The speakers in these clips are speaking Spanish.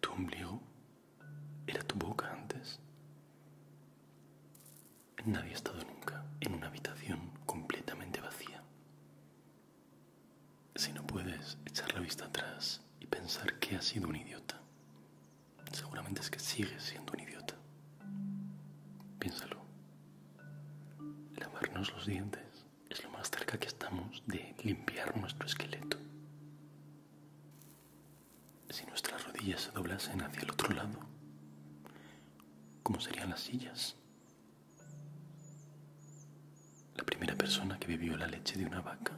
Tu ombligo era tu boca antes. Nadie ha estado nunca en una habitación completamente vacía. Si no puedes echar la vista atrás y pensar que has sido un idiota, seguramente es que sigues siendo un idiota. Piénsalo. Lavarnos los dientes es lo más cerca que estamos de limpiar nuestro esqueleto. Si nuestras rodillas se doblasen hacia el otro lado, ¿cómo serían las sillas? La primera persona que bebió la leche de una vaca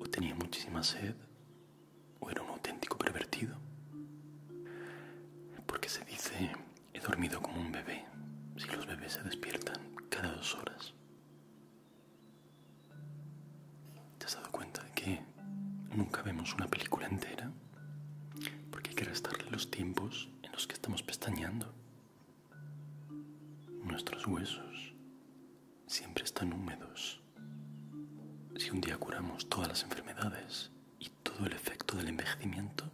o tenía muchísima sed o era un auténtico pervertido. Porque se dice, he dormido como un bebé si los bebés se despiertan cada dos horas. ¿Te has dado cuenta de que nunca vemos una película entera? Porque hay que restarle los tiempos en los que estamos pestañeando. Nuestros huesos siempre están húmedos. Si un día curamos todas las enfermedades y todo el efecto del envejecimiento,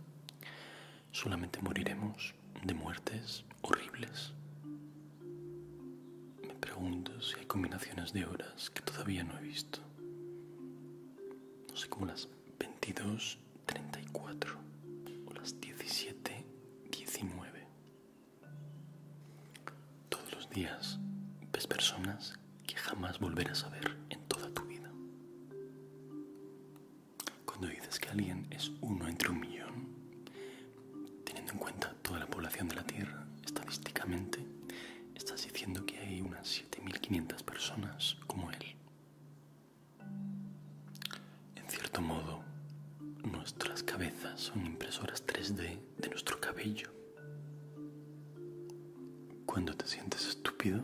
solamente moriremos de muertes horribles. Me pregunto si hay combinaciones de horas que todavía no he visto. No sé cómo las 22.34 o las 17.19. Todos los días ves personas que jamás volverás a ver en toda tu vida. Cuando dices que alguien es uno entre un millón, teniendo en cuenta toda la población de la Tierra, estadísticamente, estás diciendo que hay unas 7.500 personas como él. En cierto modo, nuestras cabezas son impresoras 3D de nuestro cabello. Cuando te sientes estúpido,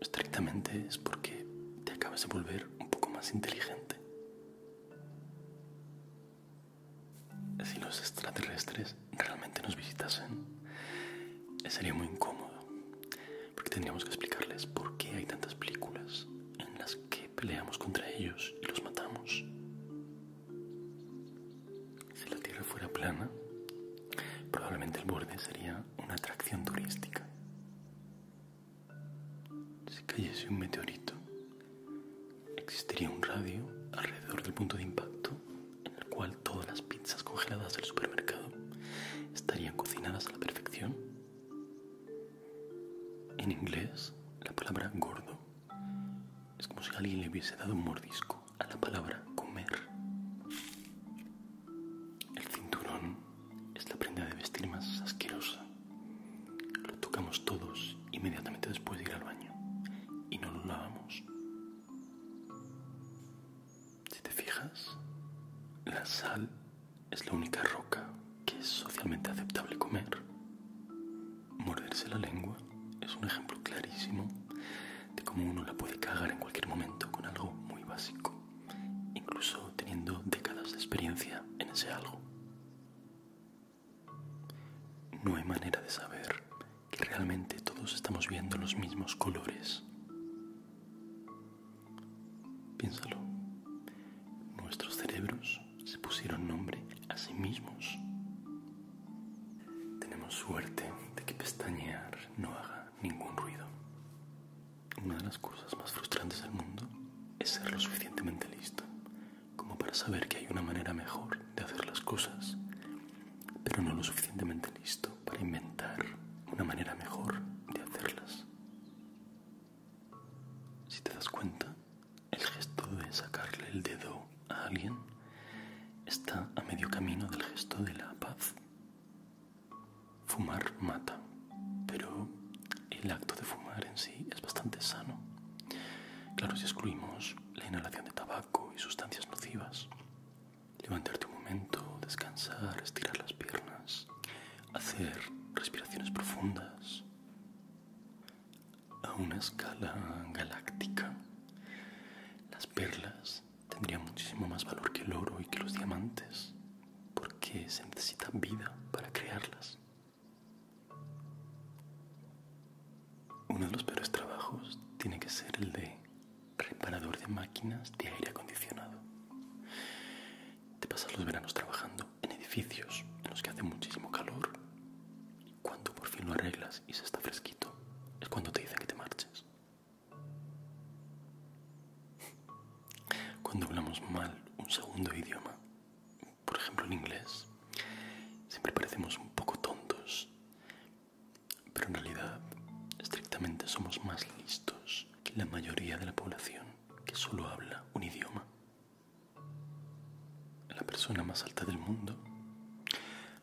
estrictamente es porque te acabas de volver un poco más inteligente. Si los extraterrestres realmente nos visitasen, sería muy incómodo, porque tendríamos que explicarles por qué hay tantas películas en las que peleamos contra ellos y los matamos. Si la Tierra fuera plana, probablemente el borde sería una atracción turística si cayese un meteorito, existiría un radio alrededor del punto de impacto en el cual todas las pizzas congeladas del supermercado estarían cocinadas a la perfección. En inglés, la palabra gordo es como si alguien le hubiese dado un mordisco a la palabra comer. El cinturón es la prenda de vestir más asquerosa. Lo tocamos todos inmediatamente después de ir al baño y no lo lavamos. Si te fijas, la sal es la única roca que es socialmente aceptable comer. Morderse la lengua es un ejemplo clarísimo de cómo uno la puede cagar en cualquier momento con algo muy básico incluso teniendo décadas de experiencia en ese algo. No hay manera de saber que realmente todos estamos viendo los mismos colores. Piénsalo, nuestros cerebros se pusieron nombre a sí mismos. Tenemos suerte de que pestañear no haga ningún ruido. Una de las cosas más frustrantes del mundo es ser lo suficientemente listo como para saber que hay una manera mejor de hacer las cosas, pero no lo suficientemente listo para inventar una manera mejor de hacerlas. Si te das cuenta, el gesto de sacarle el dedo a alguien está a medio camino del gesto de la paz. Fumar mata, pero el acto de fumar en sí es bastante sano. Claro, si excluimos la inhalación de tabaco y sustancias nocivas. Levantarte un momento, descansar, estirar las piernas, hacer respiraciones profundas. A una escala galáctica, las perlas tendría muchísimo más valor que el oro y que los diamantes, porque se necesita vida para crearlas. Uno de los peores trabajos tiene que ser el de reparador de máquinas de aire acondicionado. Te pasas los veranos trabajando en edificios en los que hace muchísimo calor y cuando por fin lo arreglas y se está fresquito es cuando te dicen que te marches. Cuando hablamos mal un segundo idioma, por ejemplo el inglés, siempre parecemos un poco tontos, pero en realidad estrictamente somos más listos que la mayoría de la población que solo habla un idioma. La persona más alta del mundo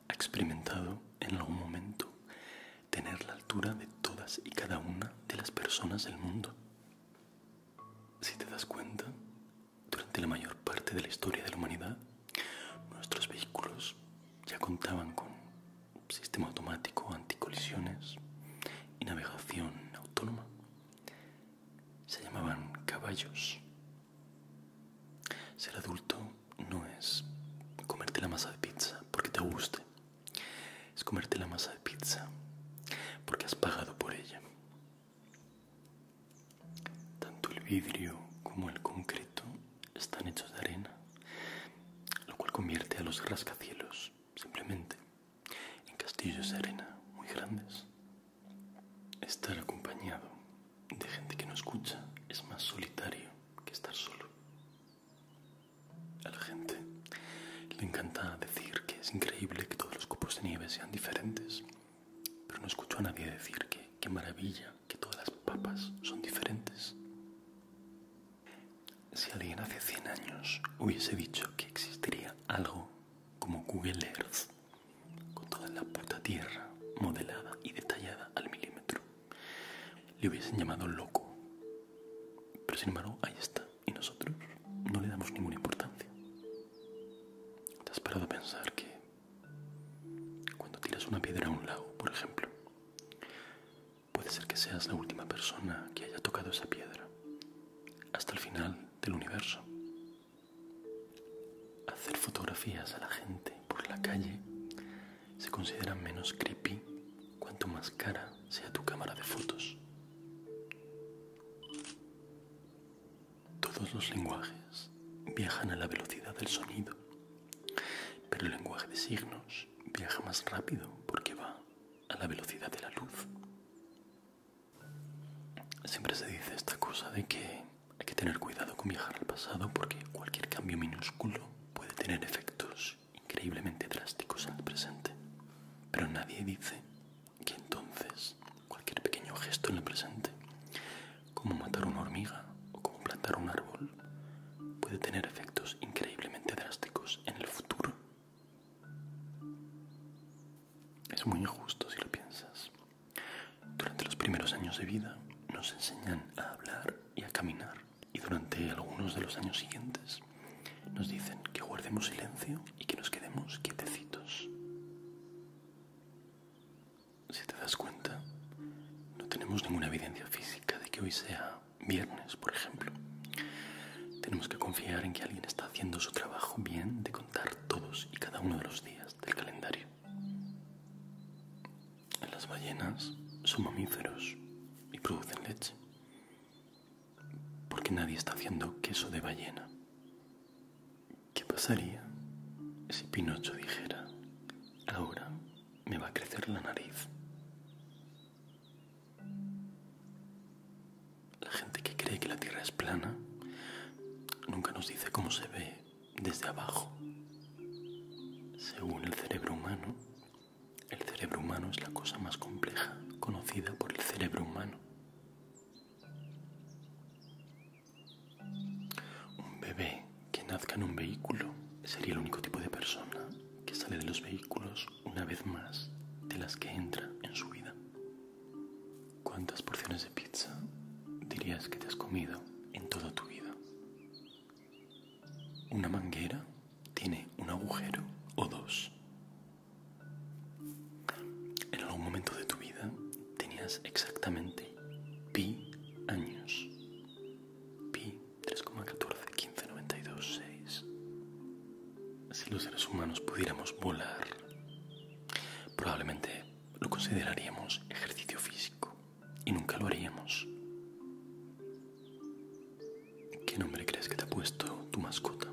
ha experimentado en algún momento tener la altura de todas y cada una de las personas del mundo. Si te das cuenta, durante la mayor parte de la historia de la humanidad, nuestros vehículos ya contaban con sistema automático, anticolisiones y navegación autónoma. Se llamaban caballos. Ser adulto no es comerte la masa de pizza porque te guste. Es comerte la masa de pizza porque has pagado por ella. Tanto el vidrio como el concreto están hechos de arena, lo cual convierte a los rascacielos simplemente en castillos de arena muy grandes. Estar acompañado de gente que no escucha es más solitario que estar solo. A la gente le encanta decir que es increíble que todos los copos de nieve sean diferentes, pero no escucho a nadie decir que qué maravilla que todas las papas son diferentes. Si alguien hace 100 años hubiese dicho que existiría algo como Google Earth, con toda la puta tierra modelada y detallada al milímetro, le hubiesen llamado loco. Pero sin embargo, ahí está. Y nosotros no le damos ninguna importancia. ¿Te has parado a pensar que cuando tiras una piedra a un lago, por ejemplo, puede ser que seas la última persona que haya tocado esa piedra hasta el final del universo? hacer fotografías a la gente por la calle se considera menos creepy cuanto más cara sea tu cámara de fotos. Todos los lenguajes viajan a la velocidad del sonido, pero el lenguaje de signos viaja más rápido porque va a la velocidad de la luz. Siempre se dice esta cosa de que hay que tener cuidado con viajar al pasado porque cualquier cambio minúsculo puede tener efectos increíblemente drásticos en el presente. Pero nadie dice que entonces cualquier pequeño gesto en el presente, como matar una hormiga o como plantar un árbol, puede tener efectos increíblemente drásticos en el futuro. Es muy injusto si lo piensas. Durante los primeros años de vida nos enseñan a hablar y a caminar y durante algunos de los años siguientes nos dicen que guardemos silencio y que nos quedemos quietecitos. Si te das cuenta, no tenemos ninguna evidencia física de que hoy sea viernes, por ejemplo. Tenemos que confiar en que alguien está haciendo su trabajo bien de contar todos y cada uno de los días del calendario. Las ballenas son mamíferos y producen leche. Porque nadie está haciendo queso de ballena. ¿Qué pasaría si Pinocho dijera, ahora me va a crecer la nariz? La gente que cree que la Tierra es plana nunca nos dice cómo se ve desde abajo. Según el cerebro humano, el cerebro humano es la cosa más compleja conocida por el cerebro humano. Un bebé que nazca en un vehículo sería el único tipo de persona que sale de los vehículos una vez más de las que entra en su vida. ¿Cuántas porciones de pizza dirías que te has comido en toda tu vida? Una manguera tiene un agujero o dos. En algún momento de tu vida tenías exactamente pi años. Pi 3,14, Si los seres humanos pudiéramos volar, probablemente lo consideraríamos ejercicio físico y nunca lo haríamos. ¿Qué nombre crees que te ha puesto tu mascota?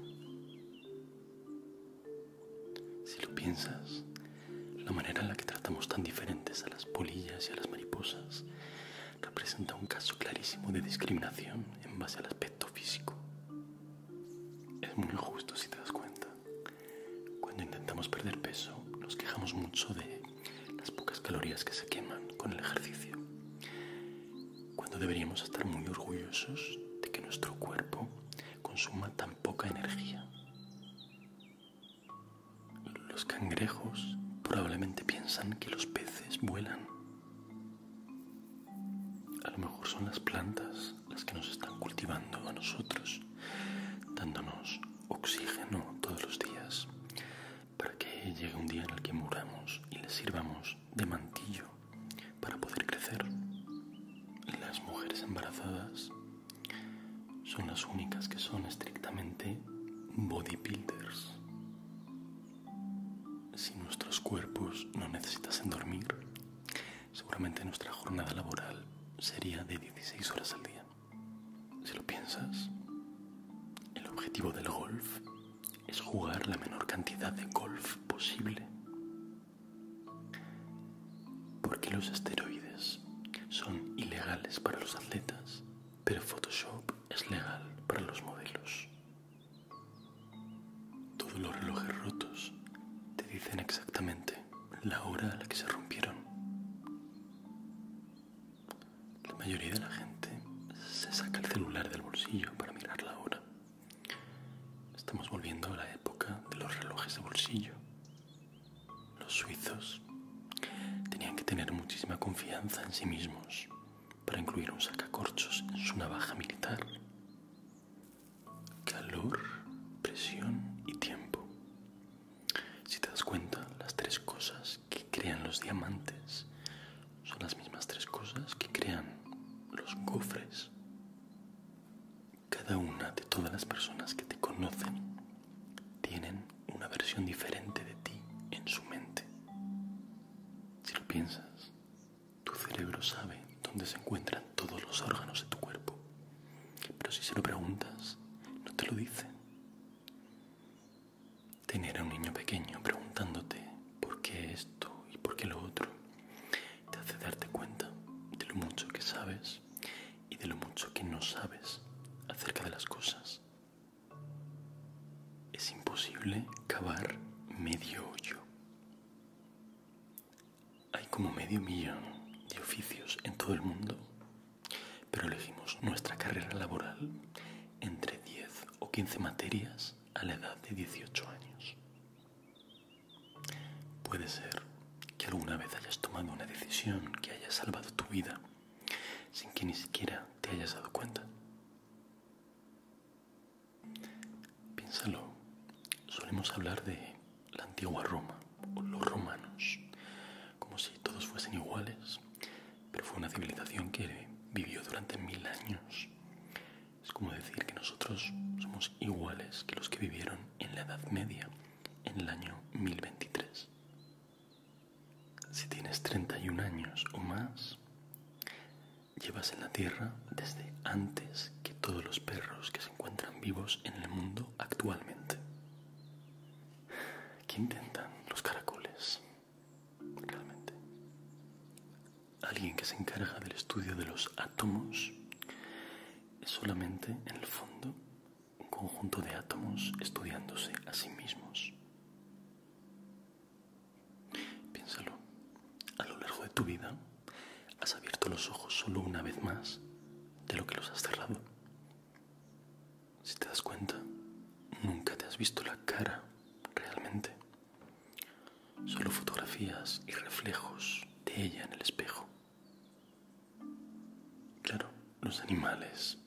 Si lo piensas, la manera en la que tratamos tan diferentes a las polillas y a las mariposas representa un caso clarísimo de discriminación en base al aspecto físico. Es muy injusto si te das cuenta. Cuando intentamos perder peso, nos quejamos mucho de las pocas calorías que se queman con el ejercicio. Cuando deberíamos estar muy orgullosos de que nuestro cuerpo consuma tan poca energía. Los cangrejos probablemente piensan que los peces vuelan. A lo mejor son las plantas las que nos están cultivando a nosotros, dándonos oxígeno todos los días, para que llegue un día en el que muramos y les sirvamos de mantillo para poder crecer. Las mujeres embarazadas son las únicas que son estrictamente bodybuilders. Si nuestros cuerpos no necesitasen dormir, seguramente nuestra jornada laboral sería de 16 horas al día. Si lo piensas, el objetivo del golf es jugar la menor cantidad de golf posible. Porque los esteroides son ilegales para los atletas, pero Photoshop es legal para los modelos. Todos los relojes rotos te dicen exactamente la hora a la que se rompieron. La mayoría de la gente se saca el celular del bolsillo para mirar la hora. Estamos volviendo a la época de los relojes de bolsillo. Los suizos tenían que tener muchísima confianza en sí mismos para incluir un sacacorchos en su navaja militar calor, presión y tiempo. Si te das cuenta, las tres cosas que crean los diamantes son las mismas tres cosas que crean los cofres. Cada una de todas las personas que te conocen tienen una versión diferente de ti en su mente. Si lo piensas, tu cerebro sabe dónde se encuentran todos los órganos de tu cuerpo, pero si se lo preguntas, no te lo dice. Tener a un niño pequeño preguntándote por qué esto y por qué lo otro te hace darte cuenta de lo mucho que sabes y de lo mucho que no sabes acerca de las cosas. Es imposible cavar medio hoyo. Hay como medio millón de oficios en todo el mundo, pero elegimos nuestra carrera laboral entre 10 o 15 materias a la edad de 18 años. Puede ser que alguna vez hayas tomado una decisión que haya salvado tu vida sin que ni siquiera te hayas dado cuenta. Piénsalo, solemos hablar de la antigua Roma o los romanos, como si todos fuesen iguales, pero fue una civilización que vivió durante mil años. Es como decir que nosotros somos iguales que los que vivieron en la Edad Media, en el año 1023. Si tienes 31 años o más, llevas en la Tierra desde antes que todos los perros que se encuentran vivos en el mundo actualmente. ¿Qué intentan los caracoles? Realmente. Alguien que se encarga del estudio de los átomos es solamente, en el fondo, un conjunto de átomos estudiándose a sí mismos. Piénsalo. A lo largo de tu vida has abierto los ojos solo una vez más de lo que los has cerrado. Si te das cuenta, nunca te has visto la cara realmente. Solo fotografías y reflejos de ella en el espejo. Claro, los animales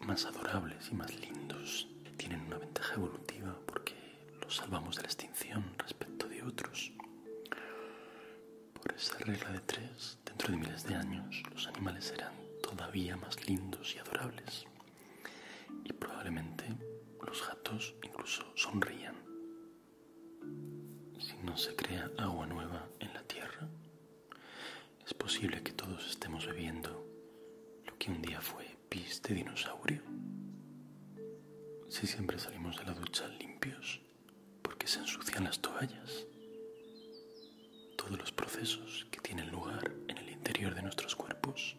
más adorables y más lindos tienen una ventaja evolutiva porque los salvamos de la extinción respecto de otros. Por esa regla de tres, dentro de miles de años, los animales serán todavía más lindos y adorables. Y probablemente los gatos incluso sonrían. Si no se crea agua nueva en la tierra, es posible que todos estemos bebiendo lo que un día fue pis de dinosaurio? Si siempre salimos de la ducha limpios, porque se ensucian las toallas? Todos los procesos que tienen lugar en el interior de nuestros cuerpos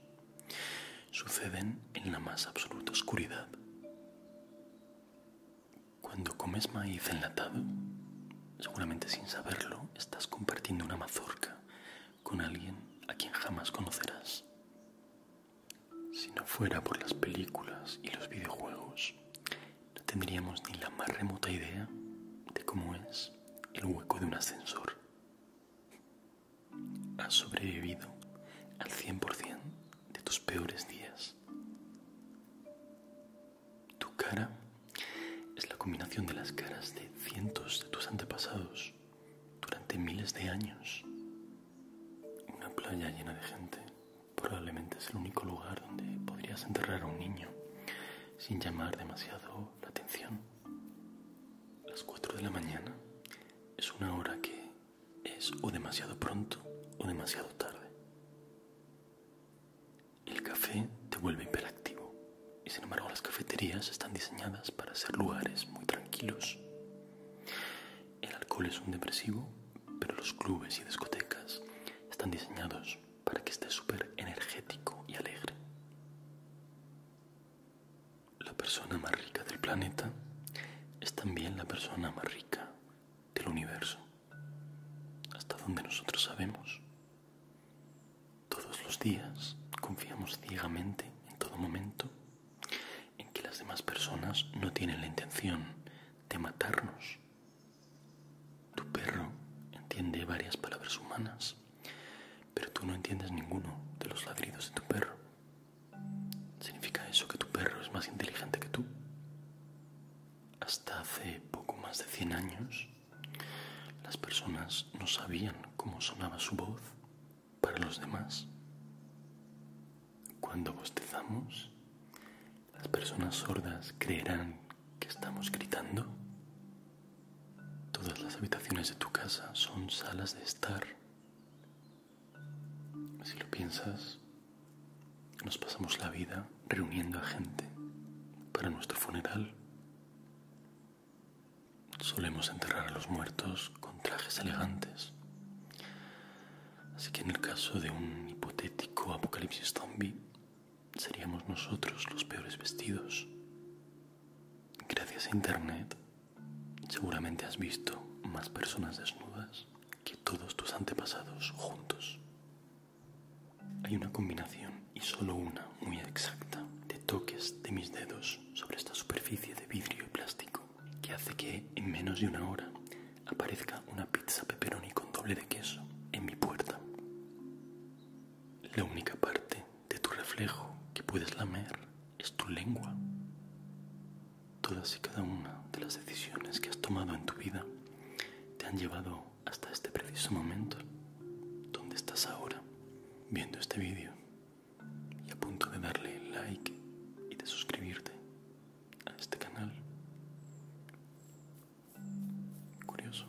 suceden en la más absoluta oscuridad. Cuando comes maíz enlatado, seguramente sin saberlo, estás compartiendo una mazorca con alguien a quien jamás conocerás. Si no fuera por las películas y los videojuegos, no tendríamos ni la más remota idea de cómo es el hueco de un ascensor. Has sobrevivido al 100% de tus peores días. Tu cara es la combinación de las caras de cientos de tus antepasados durante miles de años. Una playa llena de gente probablemente es el único lugar donde podrías enterrar a un niño sin llamar demasiado la atención. Las 4 de la mañana es una hora que es o demasiado pronto o demasiado tarde. El café te vuelve hiperactivo. Y sin embargo las cafeterías están diseñadas para ser lugares muy tranquilos. El alcohol es un depresivo, pero los clubes y discotecas están diseñados para que esté súper energético y alegre. La persona más rica del planeta es también la persona más rica del universo, hasta donde nosotros sabemos. Todos los días confiamos ciegamente, en todo momento, en que las demás personas no tienen la intención de matarnos. Tu perro entiende varias palabras humanas, pero tú no entiendes ninguno de los ladridos de tu perro. ¿Significa eso que tu perro es más inteligente que tú? Hasta hace poco más de 100 años, las personas no sabían cómo sonaba su voz para los demás. Cuando bostezamos, las personas sordas creerán que estamos gritando. Todas las habitaciones de tu casa son salas de estar. Si lo piensas, nos pasamos la vida reuniendo a gente para nuestro funeral. Solemos enterrar a los muertos con trajes elegantes. Así que en el caso de un hipotético apocalipsis zombie, seríamos nosotros los peores vestidos. Gracias a Internet, seguramente has visto más personas desnudas que todos tus antepasados juntos. Hay una combinación, y solo una, muy exacta, de toques de mis dedos sobre esta superficie de vidrio y plástico, que hace que en menos de una hora aparezca una pizza pepperoni con doble de queso en mi puerta. La única parte de tu reflejo que puedes lamer es tu lengua. Todas y cada una de las decisiones que has tomado en tu vida te han llevado hasta este preciso momento, donde estás ahora viendo este vídeo y a punto de darle like y de suscribirte a este canal. Curioso.